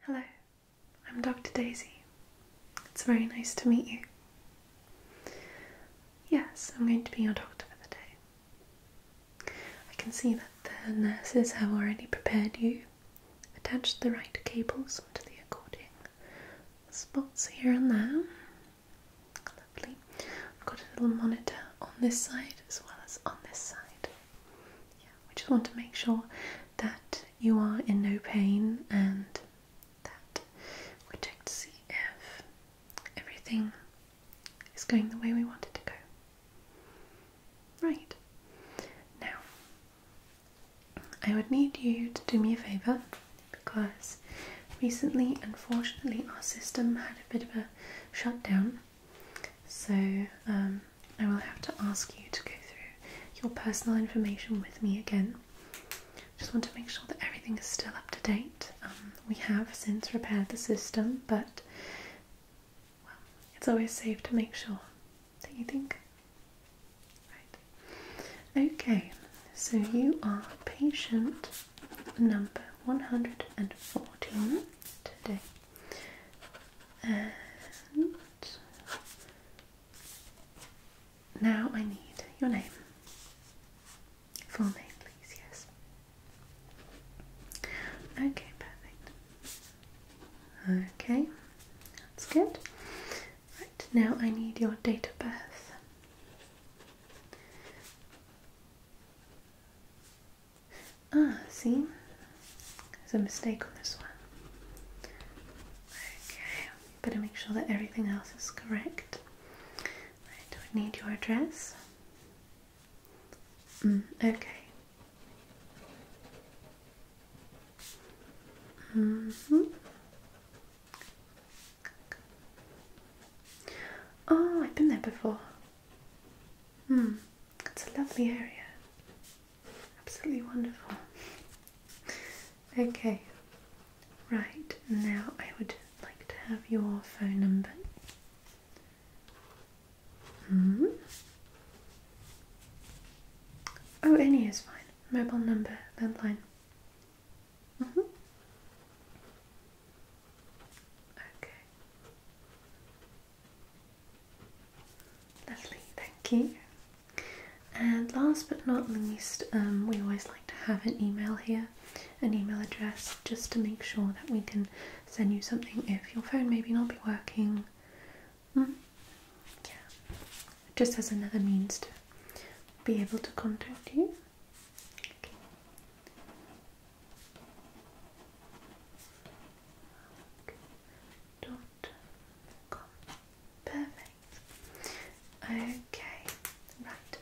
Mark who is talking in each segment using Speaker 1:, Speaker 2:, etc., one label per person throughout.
Speaker 1: Hello, I'm Dr. Daisy. It's very nice to meet you. Yes, I'm going to be your doctor for the day. I can see that the nurses have already prepared you, attached the right cables onto the recording Spots here and there. Lovely. I've got a little monitor on this side as well as on this side. Yeah, we just want to make sure that you are in no pain and that we check to see if everything is going the way we want it to go. Right. Now, I would need you to do me a favour because recently, unfortunately, our system had a bit of a shutdown. So, um, I will have to ask you to go through your personal information with me again. Just want to make sure that everything is still up to date. Um, we have since repaired the system, but well, it's always safe to make sure, don't you think? Right. Okay, so you are patient number 114 today. And now I need your name. Full name, please, yes. Okay, perfect. Okay, that's good. Right, now I need your date of birth. Ah, see? There's a mistake on this one. Okay, better make sure that everything else is correct. Right, do I need your address? Mm, okay. Mm hmm Oh, I've been there before. Hmm. It's a lovely area. Absolutely wonderful. Okay, right now I would like to have your phone number. Hmm. Oh, any is fine. Mobile number, landline. Mm -hmm. Okay. Lovely, thank you. And last but not least, um, we always like to have an email here, an email address, just to make sure that we can send you something if your phone maybe not be working. Hmm? Yeah, just as another means to be able to contact you dot com. Perfect. Okay, right.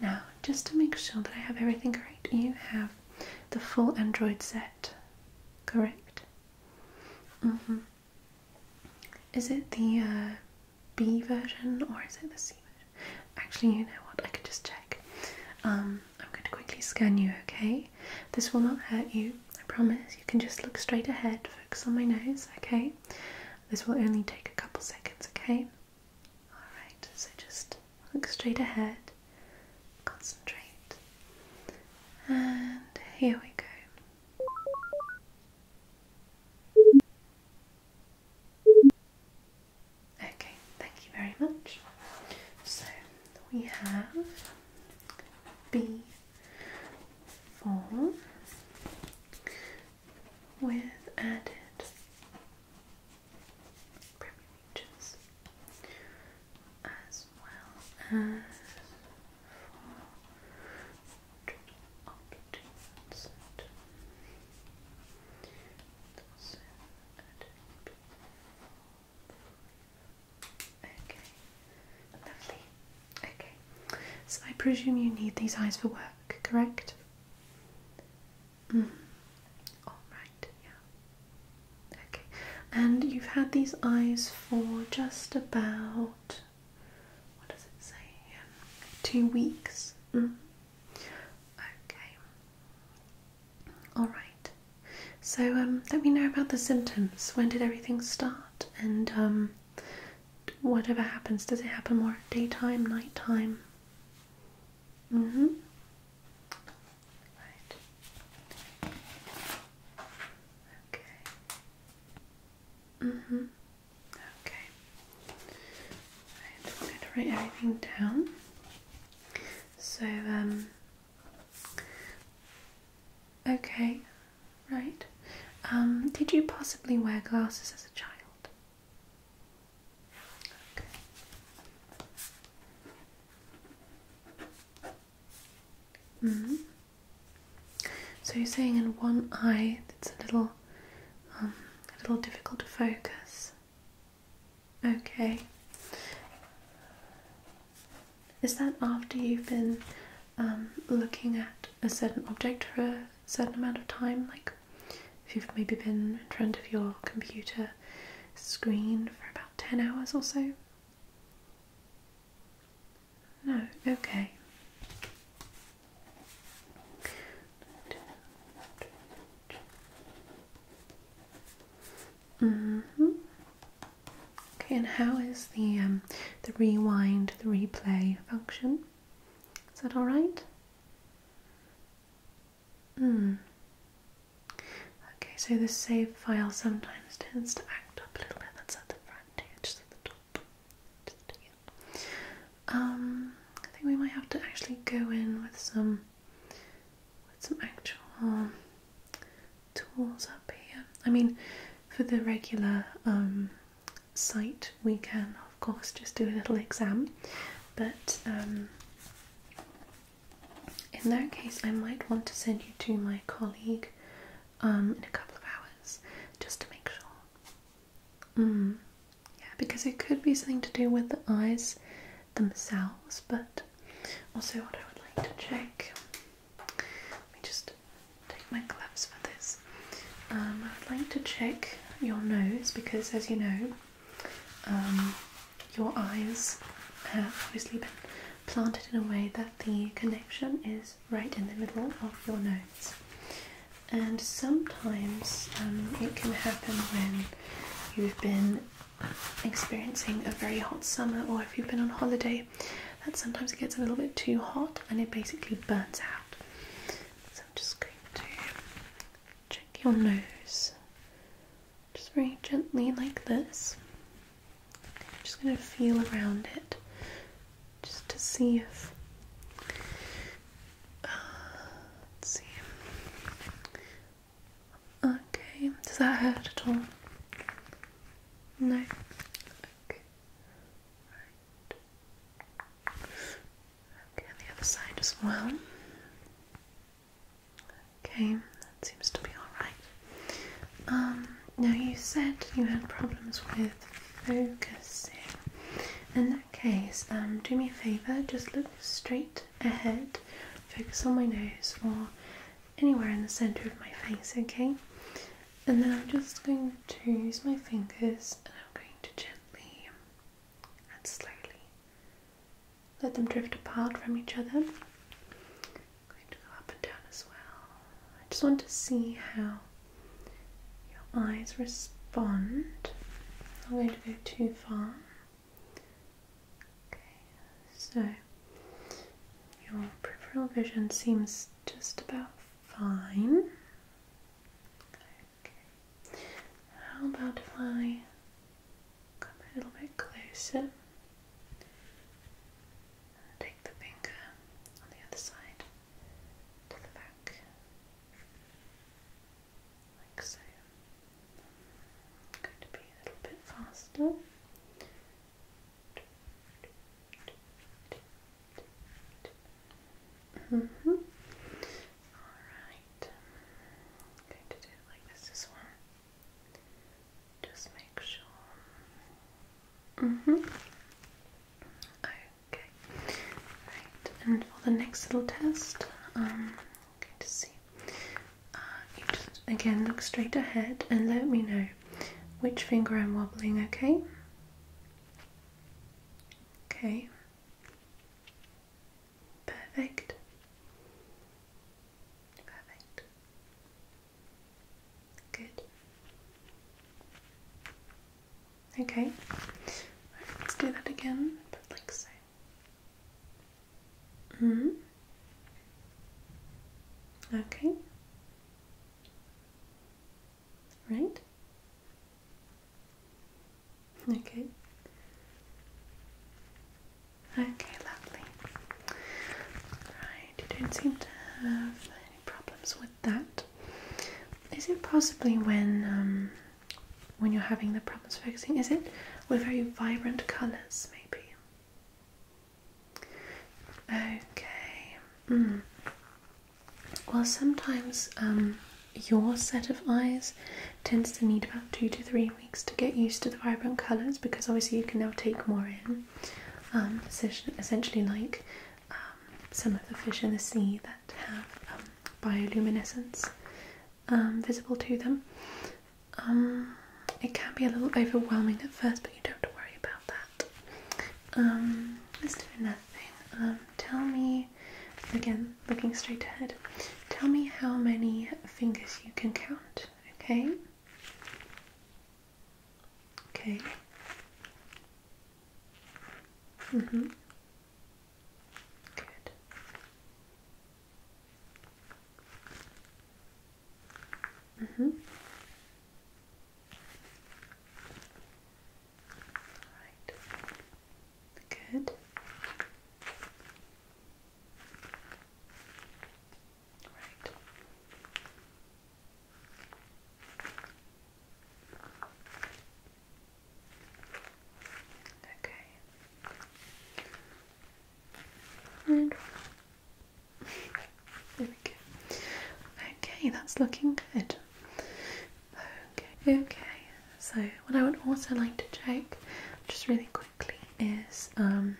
Speaker 1: Now, just to make sure that I have everything correct, you have the full Android set, correct? Mm hmm. Is it the uh, B version or is it the C version? Actually, you know what? I could just check. Um, I'm going to quickly scan you, okay? This will not hurt you, I promise. You can just look straight ahead, focus on my nose, okay? This will only take a couple seconds, okay? Alright, so just look straight ahead, concentrate, and here we go. Okay, thank you very much. So we have be form with added privileges as well as for options and added Okay, lovely. Okay, so I presume you need these eyes for work, correct? Mm. All right, yeah. Okay, and you've had these eyes for just about what does it say Two weeks. Mm. Okay. All right. So um, let me know about the symptoms. When did everything start? And um, whatever happens, does it happen more daytime, nighttime? Mm hmm. Right. Okay. Mm hmm. Okay. I'm going to write everything down. So um, Okay, right. Um, did you possibly wear glasses as a child? Okay. Mm So you're saying in one eye it's a little, um, a little difficult to focus. Okay. Is that after you've been um, looking at a certain object for a certain amount of time? Like if you've maybe been in front of your computer screen for about 10 hours or so? No, okay. Mm-hmm. Okay, and how is the um, the rewind, the replay function? Is that all right? Mm. Okay, so the save file sometimes tends to act up a little bit. That's at the front just at the top. Um, I think we might have to actually go in with some with some actual tools up here. I mean, for the regular um, site, we can of course just do a little exam, but um, in that case, I might want to send you to my colleague um, in a couple of hours just to make sure. Mm. Yeah, because it could be something to do with the eyes themselves, but also what I would like to check. Let me just take my gloves for this. Um, I would like to check your nose because, as you know, um, your eyes have obviously been planted in a way that the connection is right in the middle of your nose. And sometimes um, it can happen when you've been experiencing a very hot summer or if you've been on holiday that sometimes it gets a little bit too hot and it basically burns out. So I'm just going to check your nose just very gently like this. I'm just going to feel around it just to see if uh, let's see Okay, does that hurt at all? No? Okay. Right. Okay, the other side as well. Okay, that seems to be alright. Um, now you said you had problems with focusing. In that case, um, do me a favour, just look straight ahead, focus on my nose or anywhere in the center of my face, okay? And then I'm just going to use my fingers and I'm going to gently and slowly let them drift apart from each other. I'm going to go up and down as well. I just want to see how your eyes respond. I'm not going to go too far. Okay, so your peripheral vision seems just about fine. how about if I come a little bit closer? take the finger on the other side to the back, like so going to be a little bit faster. Mm -hmm. Alright. going to do it like this as well. Just make sure. Mm -hmm. Okay. Right. And for the next little test, um, going to see uh, you just again look straight ahead and let me know which finger I'm wobbling, okay? Okay. Perfect. Perfect. Good. Okay. let's do that again, like so. Mm hmm. Okay. Right. Okay. Okay, lovely. Right, you don't seem to have any problems with that. Is it possibly when um, when you're having the problems focusing? Is it with very vibrant colours, maybe? Okay. Hmm. Well, sometimes um, your set of eyes tends to need about two to three weeks to get used to the vibrant colours because obviously you can now take more in. Um, essentially, like um, some of the fish in the sea that have um, bioluminescence visible to them. Um, it can be a little overwhelming at first, but you don't have to worry about that. Um, let's do another thing. Um, tell me, again, looking straight ahead, tell me how many fingers you can count, okay? Okay. Mm-hmm. Good. Mm -hmm. All right. Good. Right. Okay. And there we go. Okay, that's looking good. Okay, okay. So what I would also like to check, just really quickly, is um,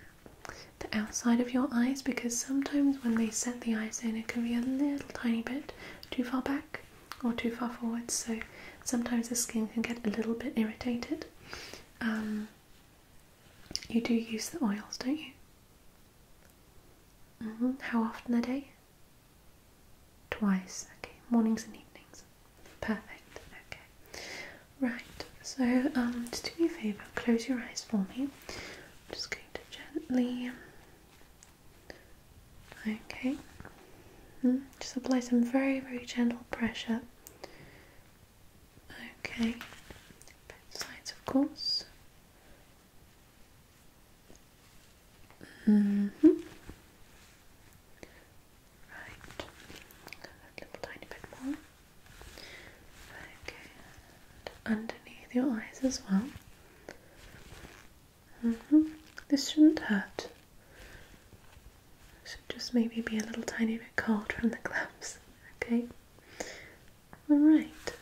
Speaker 1: the outside of your eyes because sometimes when they set the eyes in, it can be a little tiny bit too far back or too far forward. So sometimes the skin can get a little bit irritated. Um, you do use the oils, don't you? Mm-hmm. How often a day? Twice, okay, mornings and evenings. Perfect, okay. Right, so just um, do me a favour, close your eyes for me. just going to gently. Okay, mm-hmm. just apply some very, very gentle pressure Okay, both sides, of course. Mm-hmm. Right, a little tiny bit more. Okay, underneath your eyes as well. Mm-hmm. This shouldn't hurt should just maybe be a little tiny bit cold from the gloves. Okay. All right.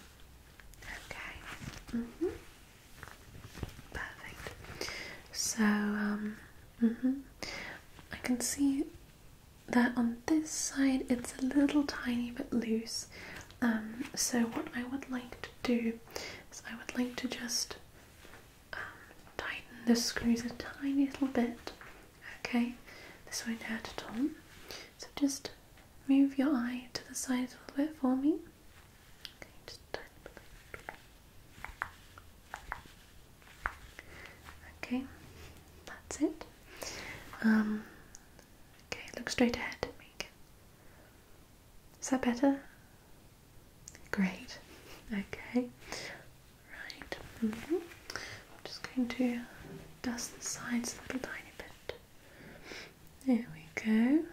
Speaker 1: Okay. Mhm. Mm Perfect. So um. Mhm. I can see that on this side it's a little tiny bit loose. Um. So what I would like to do is I would like to just um, tighten the screws a tiny little bit. Okay, this won't hurt at all. So just move your eye to the side a little bit for me. Okay, that's it. Um, okay, look straight ahead at Is that better? Great. Okay. Right. Mm-hmm. I'm just going to dust the sides a little tiny bit. There we go.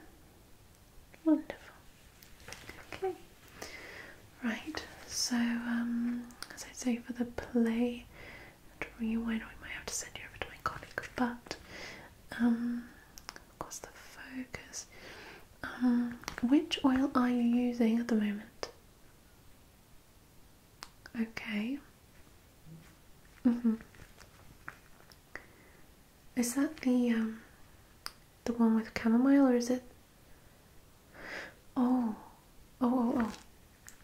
Speaker 1: Wonderful. Okay. Right. So, um, as I say, for the play rewind, we might have to send you over to my colleague, but um, of course, the focus. Um, which oil are you using at the moment? Okay. Mhm. Mm is that the um, the one with chamomile or is it? Oh. Oh, oh,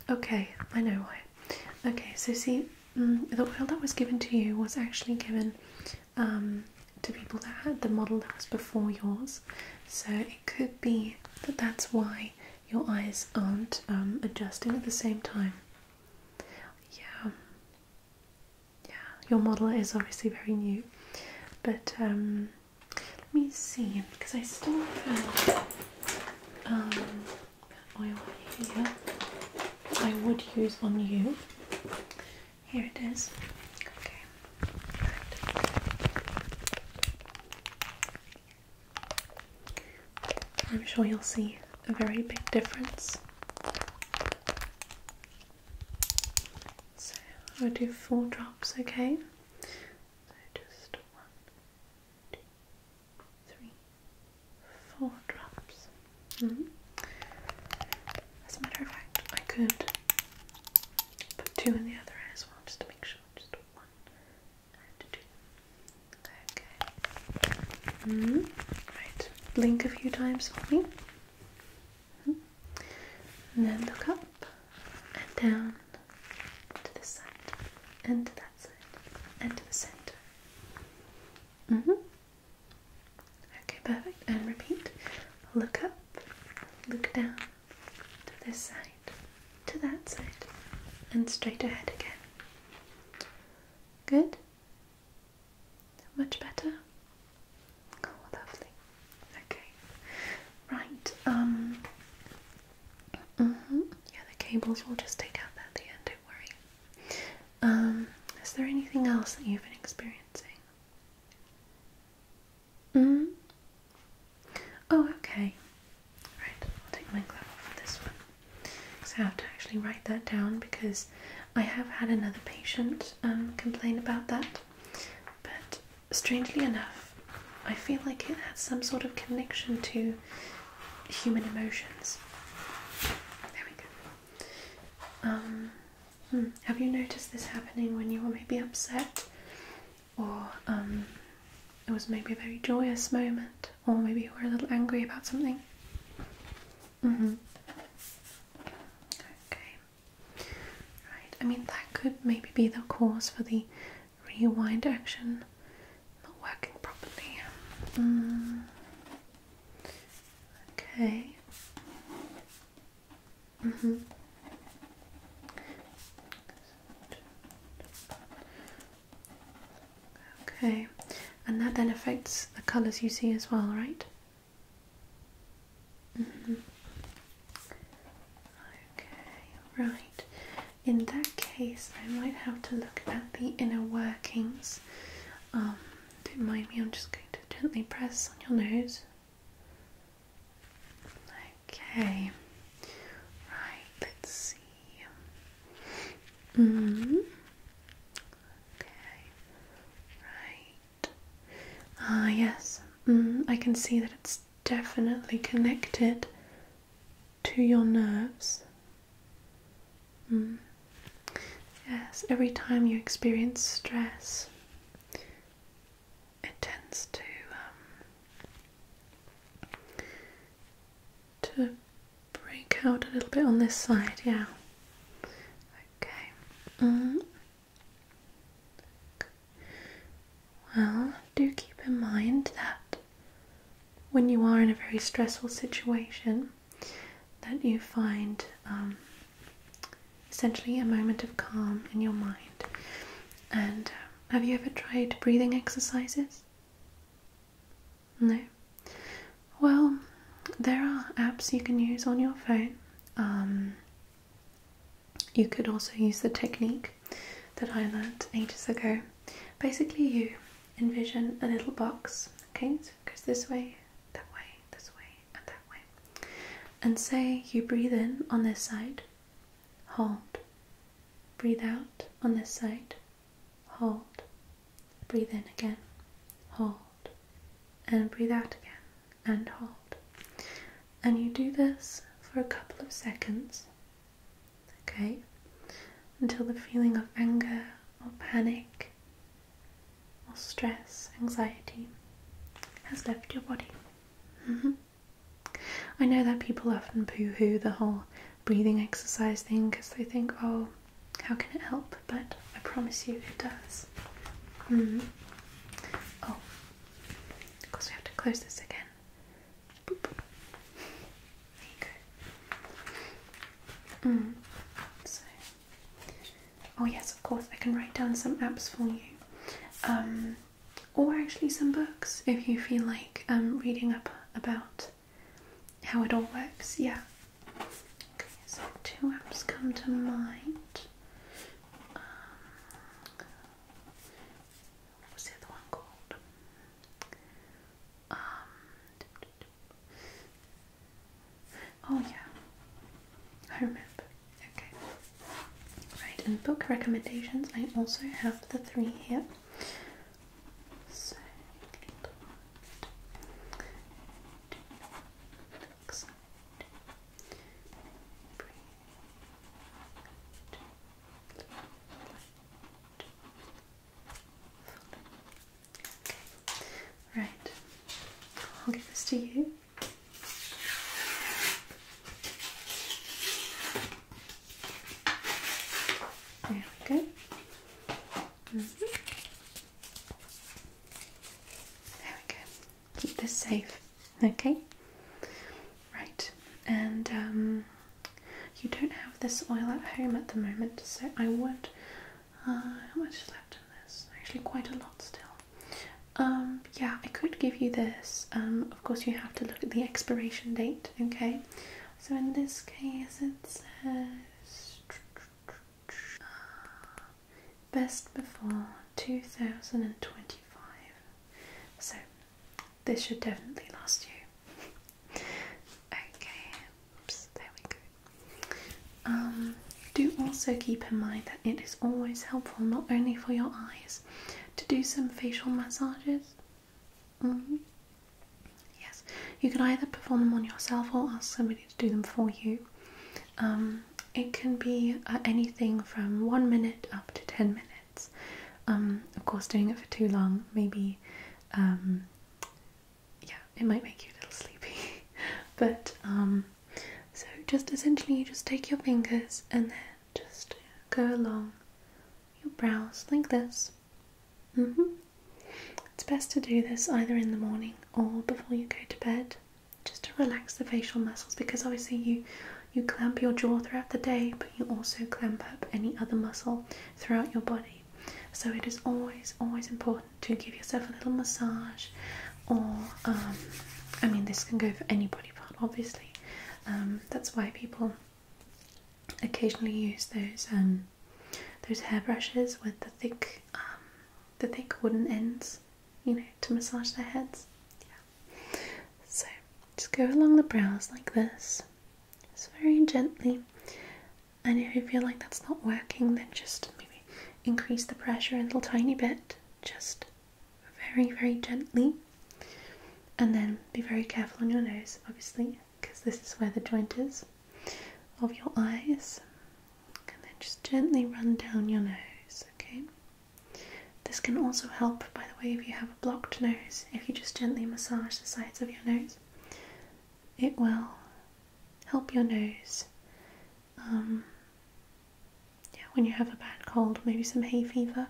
Speaker 1: oh. Okay, I know why. Okay, so see, mm, the oil that was given to you was actually given um, to people that had the model that was before yours. So it could be that that's why your eyes aren't um, adjusting at the same time. Yeah, yeah. Your model is obviously very new, but um, let me see because I still have um, oil here I would use on you. Here it is. Okay. I'm sure you'll see a very big difference. So I'll do four drops, okay? just one, two, three, four drops. Mm-hmm. As a matter of fact, I could put two in the other as well just to make sure just one and two. Okay. Hmm? Right. Blink a few times for me. Hmm. And then look up and down to this side and to that side and to the center. Mm-hmm. Okay, perfect. And repeat. Look up, look down, to this side, to that side, and straight ahead again. Good? Much better? Oh, lovely. Okay. Right, um, mm-hmm. Yeah, the cables will just take out that at the end, don't worry. Um, is there anything else that you've been experiencing? Mm-hmm. Oh, okay. Right, I'll take my glove off for this one. So I have to actually write that down because I have had another patient um, complain about that. But strangely enough, I feel like it has some sort of connection to human emotions. There we go. Um, hmm, have you noticed this happening when you are maybe upset or um, it was maybe a very joyous moment, or maybe you were a little angry about something. Mm-hmm. Okay. Right. I mean, that could maybe be the cause for the rewind action not working properly. Mm. Okay. Mm -hmm. Okay, and that then affects the colours you see as well, right? Mm -hmm. Okay, right. In that case, I might have to look at the inner workings. Um, don't mind me, I'm just going to gently press on your nose. Okay, right, let's see. hmm Okay, right. Ah, yes, mm, I can see that it's definitely connected to your nerves. Mm. Yes, every time you experience stress, it tends to um, to break out a little bit on this side. Yeah. Okay. Mm. Well, do keep in mind that when you are in a very stressful situation, that you find um, essentially a moment of calm in your mind and. Have you ever tried breathing exercises? No? Well, there are apps you can use on your phone. Um, you could also use the technique that I learned ages ago. Basically, you envision a little box, okay? So it goes this way, that way, this way, and that way. And say you breathe in on this side hold. Breathe out on this side, hold. Breathe in again, hold. And breathe out again and hold. And you do this for a couple of seconds, okay, until the feeling of anger or panic or stress, anxiety has left your body. Mm-hmm. I know that people often poo hoo the whole breathing exercise thing because they think, oh, how can it help? But I promise you it does. Mm. Oh, of course, we have to close this again. Mm-hmm. oh, yes, of course, I can write down some apps for you. Um, or actually some books if you feel like um, reading up about how it all works. Yeah. Okay, so two apps come to mind. Um, what was the other one called? Um, oh yeah, I remember. Okay. Right, and book recommendations. I also have the three here. So, Okay. Right. I'll give this to you. There we go. Mm-hmm. There we go. Keep this safe. Okay? Right. And um, you don't have this oil at home at the moment, so I would uh, how much is left in this? Actually quite a lot still. Um, yeah, I could give you this. Um, of course, you have to look at the expiration date, okay? So, in this case, it says uh, best before 2025. So, this should definitely last you. okay, oops, there we go. Um, do also keep in mind that it is always helpful not only for your eyes to do some facial massages. Mm-hmm. Yes, you can either perform them on yourself or ask somebody to do them for you. Um, it can be uh, anything from one minute up to ten minutes. Um, of course, doing it for too long, maybe, um, yeah, it might make you a little sleepy. but so just essentially, you just take your fingers and then just go along your brows like this. Mm-hmm. It's best to do this either in the morning or before you go to bed, just to relax the facial muscles because obviously you you clamp your jaw throughout the day, but you also clamp up any other muscle throughout your body. So it is always, always important to give yourself a little massage, or um, I mean, this can go for any body part, obviously, um, that's why people occasionally use those um, those hairbrushes with the thick um, the thick wooden ends, you know, to massage their heads. Yeah. So just go along the brows like this, just very gently. And if you feel like that's not working, then just maybe increase the pressure a little tiny bit, just very, very gently, and then be very careful on your nose, obviously, because this is where the joint is of your eyes, and then just gently run down your nose. Okay, this can also help, by the way, if you have a blocked nose, if you just gently massage the sides of your nose, it will help your nose. Um, yeah, when you have a bad cold, maybe some hay fever.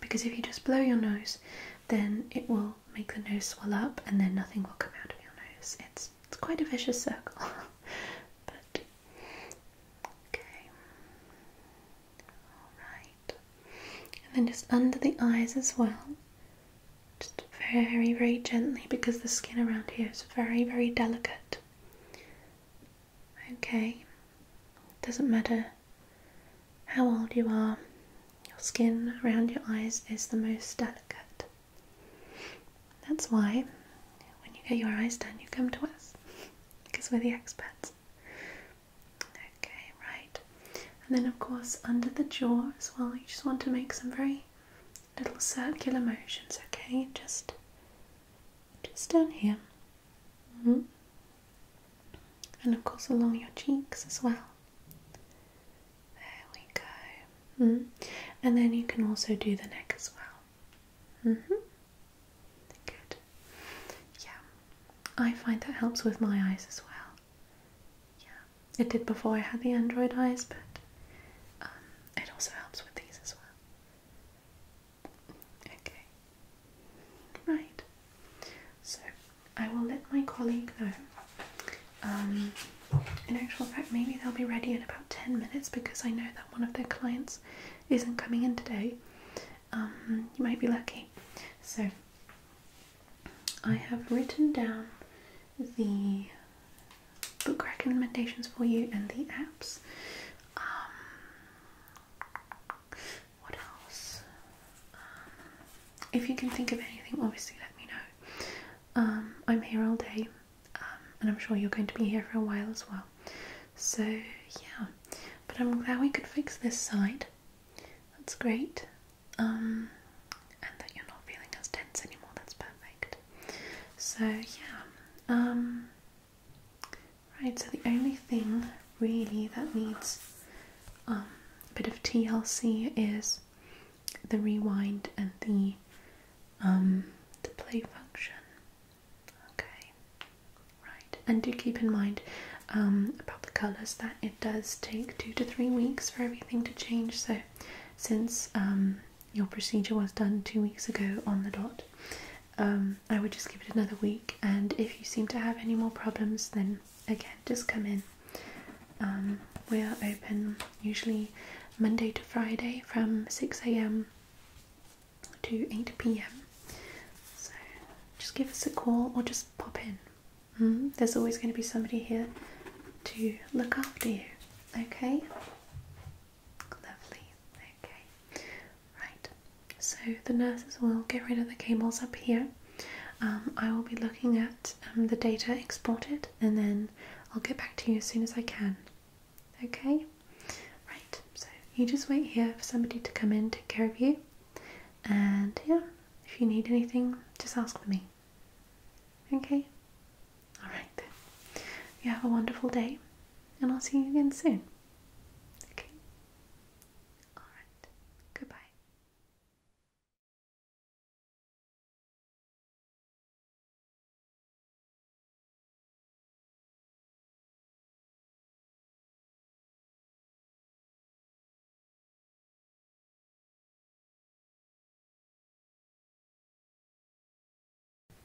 Speaker 1: Because if you just blow your nose, then it will make the nose swell up and then nothing will come out of your nose. It's, it's quite a vicious circle. but, okay. Alright. And then just under the eyes as well. Just very, very gently because the skin around here is very, very delicate. Okay, doesn't matter how old you are, your skin around your eyes is the most delicate. That's why when you get your eyes done, you come to us because we're the experts. Okay, right, and then of course, under the jaw as well, you just want to make some very little circular motions, okay? Just just down here. Mm-hmm. And of course, along your cheeks as well. There we go. Mm-hmm. And then you can also do the neck as well. Mm-hmm. Good. Yeah, I find that helps with my eyes as well. Yeah, it did before I had the Android eyes, but um, it also helps with these as well. Okay. Right. So I will let my colleague know. Um, in actual fact, maybe they'll be ready in about 10 minutes because I know that one of their clients isn't coming in today. Um, you might be lucky. So I have written down the book recommendations for you and the apps. Um, what else? Um, if you can think of anything, obviously let me know. Um, I'm here all day, and I'm sure you're going to be here for a while as well. So, yeah, but I'm glad we could fix this side. That's great. and that you're not feeling as tense anymore, that's perfect. So, yeah, um, Right, so the only thing really that needs um, a bit of TLC is the rewind and the um, the play function. Okay, right, and do keep in mind um, about the colours that it does take two to three weeks for everything to change. So, since your procedure was done two weeks ago on the dot, um, I would just give it another week. And if you seem to have any more problems, then again, just come in. Um, we are open usually Monday to Friday from 6 a.m. to 8 p.m. So just give us a call or just pop in. Hmm? there's always going to be somebody here to look after you. Okay? Lovely. Okay. Right. So the nurses will get rid of the cables up here. Um, I will be looking at um, the data exported and then I'll get back to you as soon as I can. Okay? Right. So you just wait here for somebody to come in, take care of you. And yeah, if you need anything, just ask for me. Okay? Alright You have a wonderful day and I'll see you again soon. Okay? Alright. Goodbye.